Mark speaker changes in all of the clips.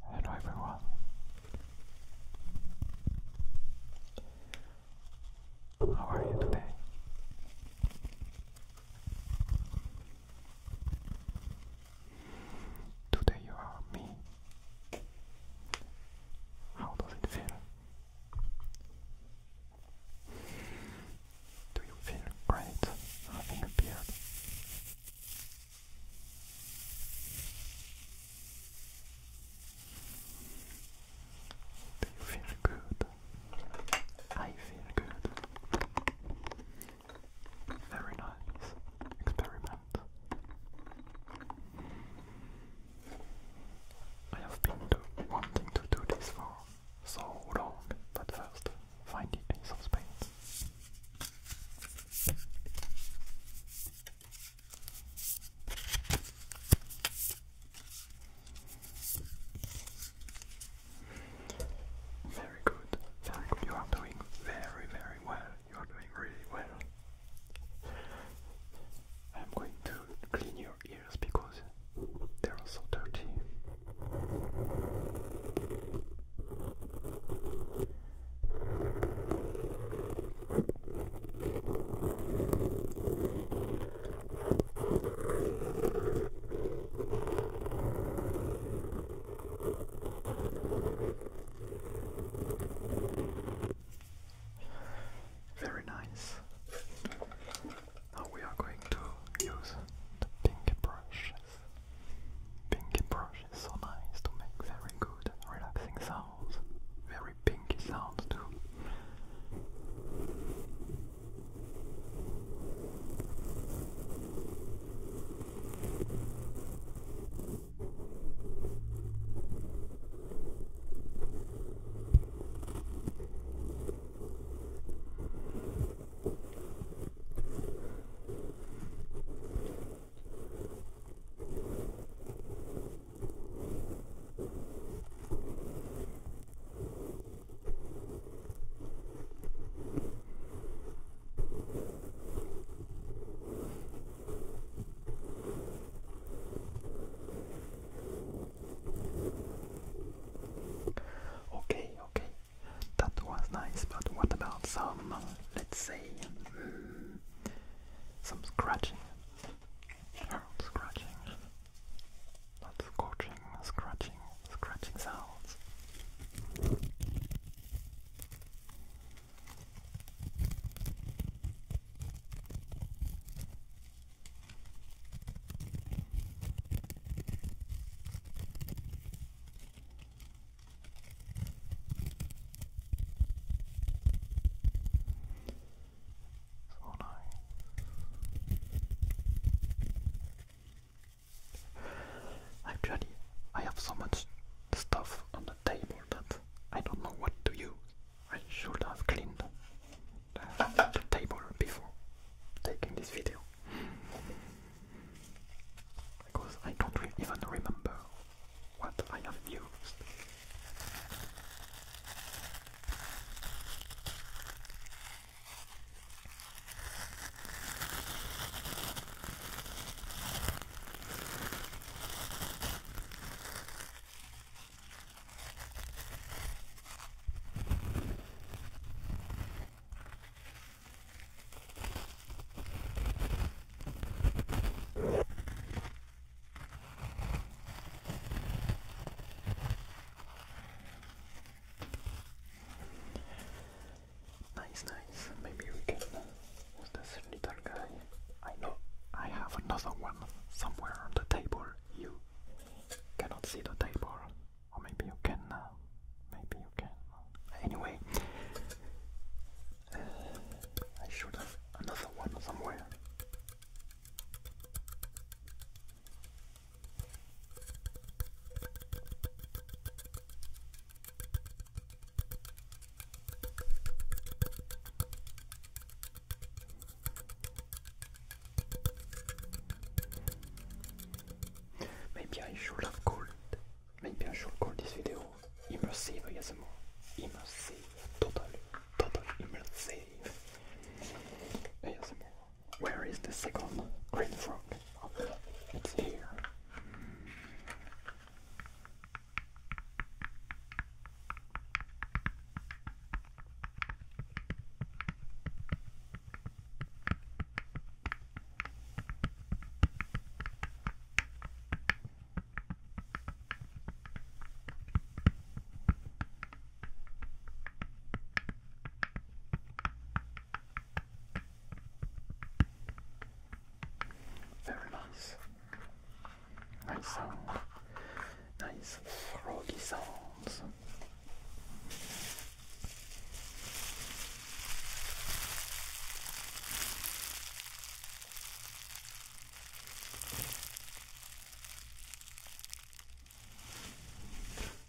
Speaker 1: Hello everyone. How are you today? Today you are me. How does it feel? Do you feel great having appeared? Do you feel good? I feel good. Very nice experiment. I have been wanting to do this for so long, but first, find it ace of very good, very good. You are doing very, very well. You are doing really well. I'm going to clean your ears because they are so dirty. Very nice. Now we are going to use the pinky brushes. Pinky brush which is so nice to make very good relaxing sounds, very pinky sounds too. Okay, okay, that was nice, but what about some, let's say, some scratching. Harold scratching. Not scorching, scratching, scratching sounds. So nice. Actually, I have so much stuff on the table that I don't know what to use. I should have cleaned the table before taking this video because I don't even remember what I have used. Nice, nice. Maybe we can. use this little guy? I know I have another one somewhere on the table. You cannot see the table, or maybe you can. Uh, maybe you can. Anyway, I should have another one somewhere. Maybe I should have called Maybe I should call this video immersive more Immersive, totally, totally immersive more. Where is the second green frog? Oh, it's here. Very nice. Nice sound. Nice froggy sounds.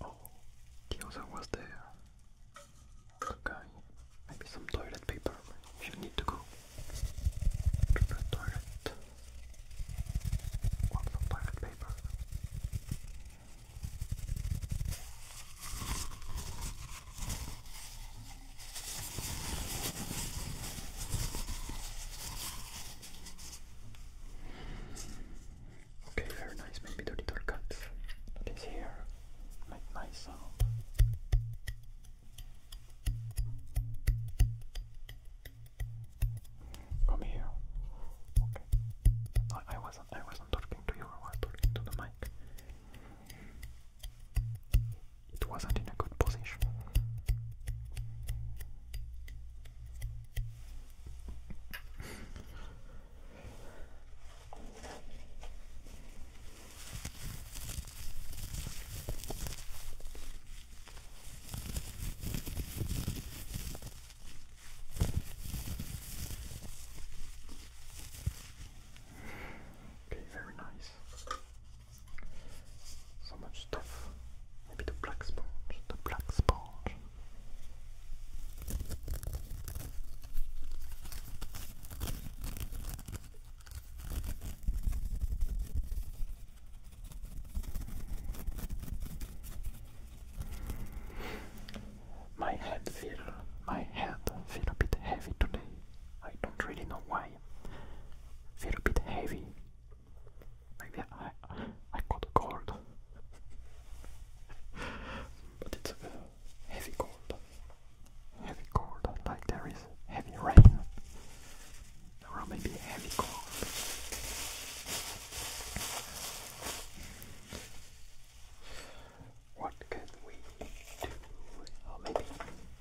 Speaker 1: Oh, the was there. Okay, maybe some toilet paper. You need to go to the toilet. Want some toilet paper? Okay, very nice. Maybe the little cut that is here. Make nice sound. Come here. Okay. I, I wasn't I wasn't talking to you, I was talking to the mic. It wasn't in a good position. Okay, very nice. So much stuff. Maybe the black sponge, the black sponge. My head feel my head feel a bit heavy today. I don't really know why a bit heavy. Like I, I got a cold. but it's heavy cold. Heavy cold, like there is heavy rain. Or maybe heavy cold. What can we do? Or maybe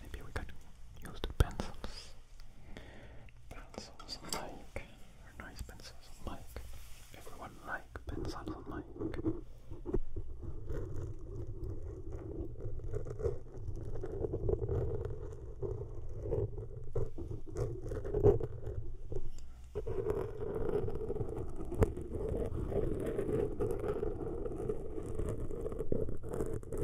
Speaker 1: Maybe we could use the pencils. Pencils on mic. nice pencils on Everyone like pencils on very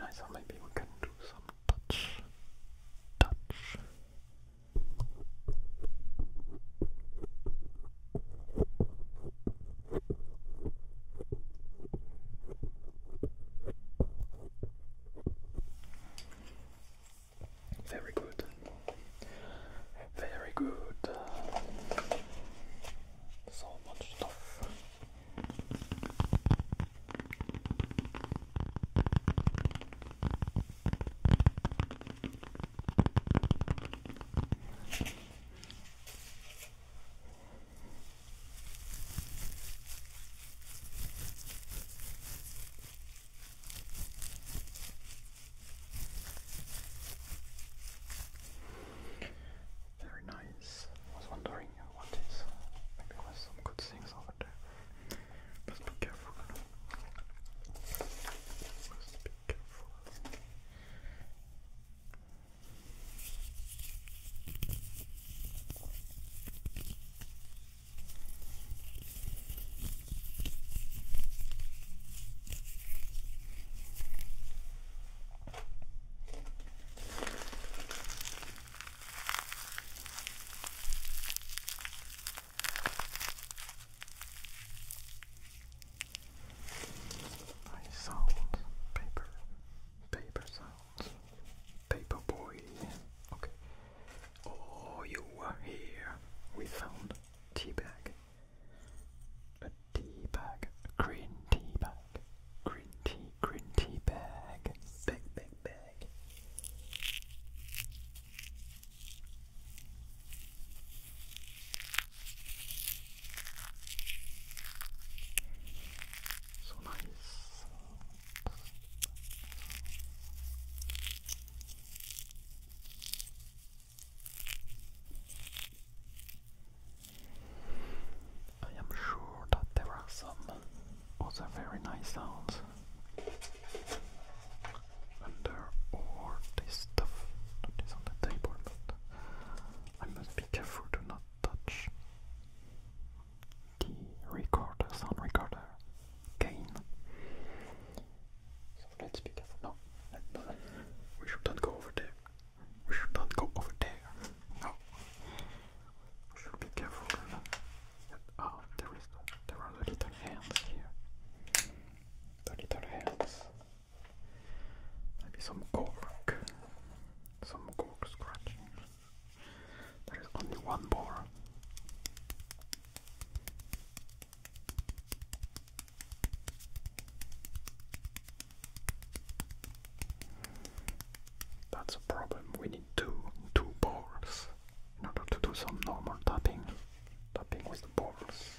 Speaker 1: nice, or maybe we can do some touch, touch. Very good. Very good. So much stuff. Very nice. was wondering what is. Maybe there some good things over there. Must be careful. be careful. Nice sounds, paper, paper sounds, paper boy. Okay, Oh, you were here. We found tea bag. A tea bag. A green tea bag. Green tea, green tea bag. big, big, bag. So nice. I am sure that there are some other very nice sounds under all this stuff that is on the table, I must be careful to not touch the recorder, sound recorder gain so let's be careful. No, we should not go over there. We should not go over there. No, we should be careful. And, oh, there is there are the little hands here. The little hands. Maybe some cork. Some cork scratching. There is only one more. That's a problem. We need two two balls in order to do some normal tapping. Tapping with the balls.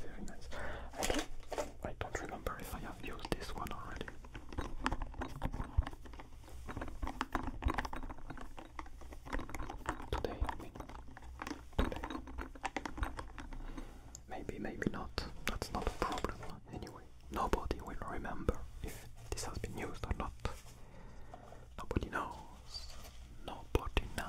Speaker 1: Very nice. I I don't remember if I have used this one already. Today, Today. Maybe, maybe not. That's not a problem anyway. Nobody will remember if this has been used or not. Nobody knows. Nobody knows.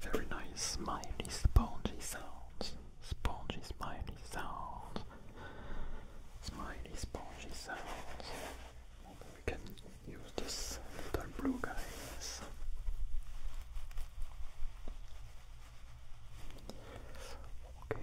Speaker 1: Very nice smiley spongy sounds. Spongy smiley sound. Smiley spongy sounds. we can use this little blue guys. Okay.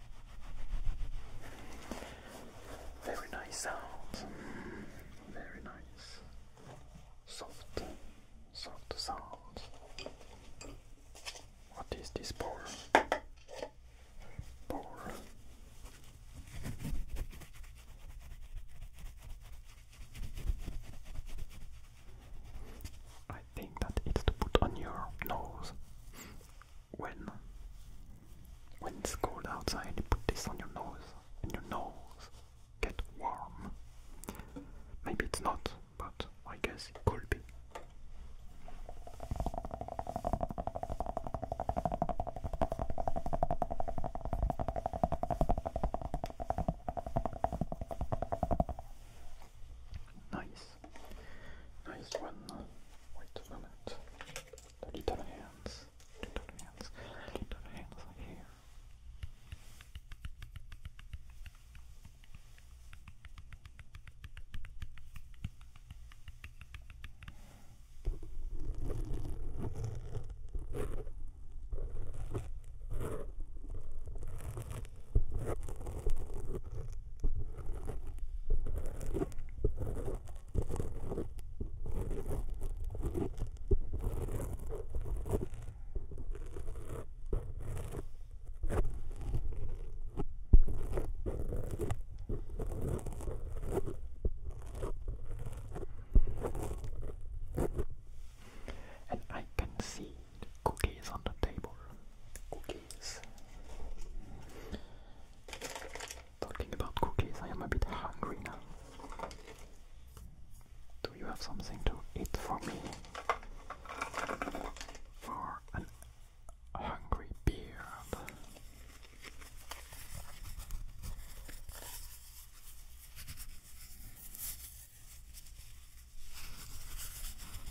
Speaker 1: Very nice sound. Very nice. Soft. Soft sounds. What is this pour? Pour. I think that it's to put on your nose when when it's cold outside, you put this on your nose, and your nose get warm. Maybe it's not, but I guess it could be. Nice. Nice one. Wait a minute. little hands. Little hands. Little hands here. And I can see the cookies on the table. Cookies. Talking about cookies, I am a bit hungry now. Do you have something to eat for me? For an hungry beard.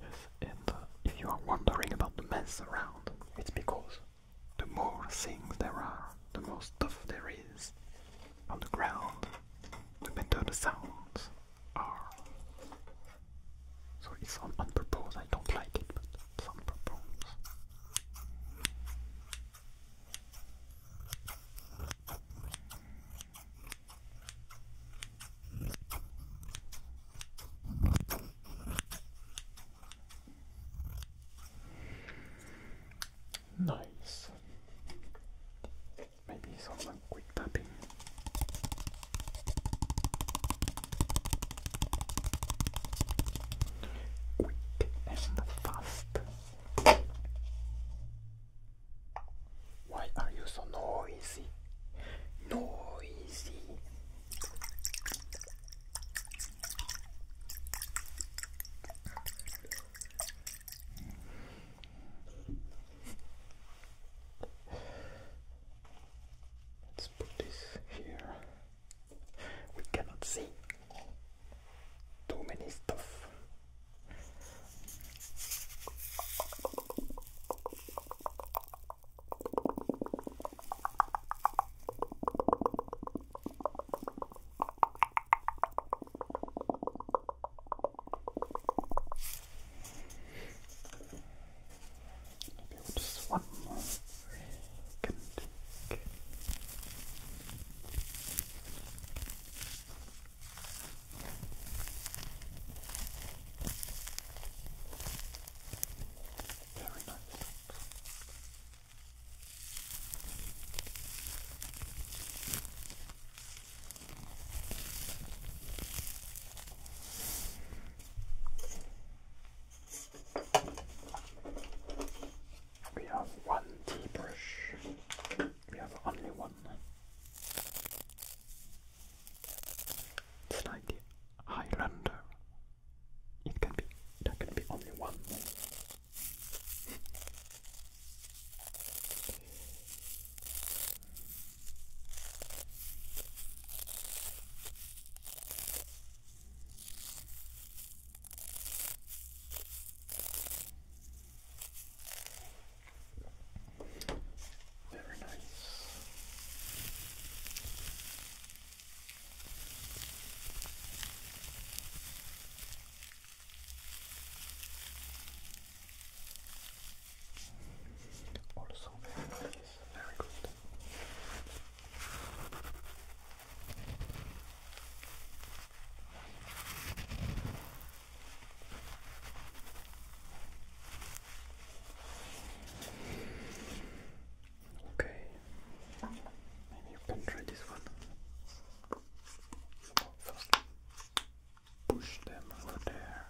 Speaker 1: Yes, and if you are wondering about the mess around, it's because the more things there are, the more stuff there is on the ground, the better sounds are. So it's on, purpose, I don't like it, but it's purpose. Nice. Maybe some quick tapping. Quick and fast. Why are you so noisy? Noisy. Let's put this here. We cannot see too many stuff. Maybe we'll just one more. Can take. Very nice. We have one tea We have only one. It's like the Highlander. It can be there can be only one. Very nice. Also very nice, very good. Okay, maybe you can try this one. First, push them over there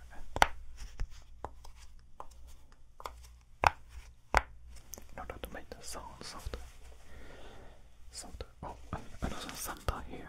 Speaker 1: and in to make the sounds of the, Santa. Oh, another Santa here.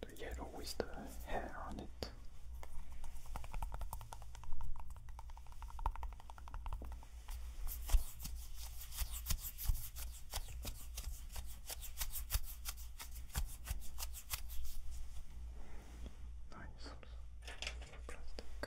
Speaker 1: the yellow with the hair on it. Nice plastic.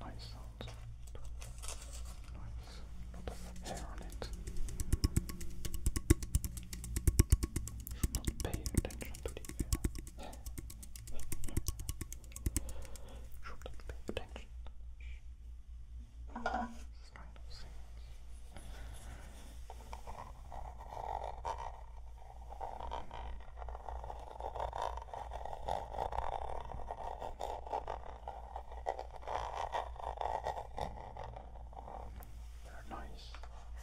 Speaker 1: Nice sounds. Nice. Lot of hair on it. not pay attention to the Shouldn't pay attention. Kind of They're nice.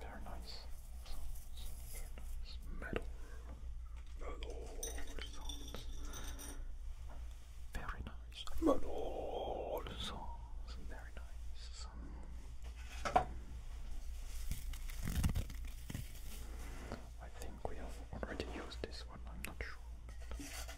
Speaker 1: very nice. Metal. Metal Very nice. Metal Very nice. I think we have already used this one, I'm not sure.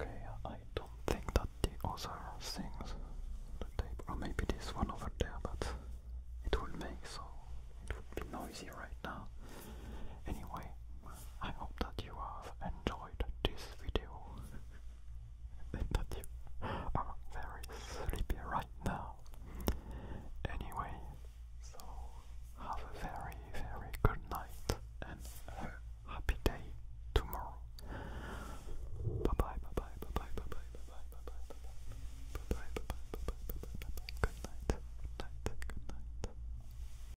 Speaker 1: Okay, I don't think that the other things the table, or maybe this one over there, but it will make so it would be noisy right now. Anyway, I hope that you have enjoyed this video and that you are very sleepy right now. Anyway, so have a very, very good night and a happy day tomorrow. Bye bye, bye bye, bye bye, bye bye, bye bye, bye bye, bye bye, bye bye, bye bye, bye bye, bye bye, good night, good night, good night.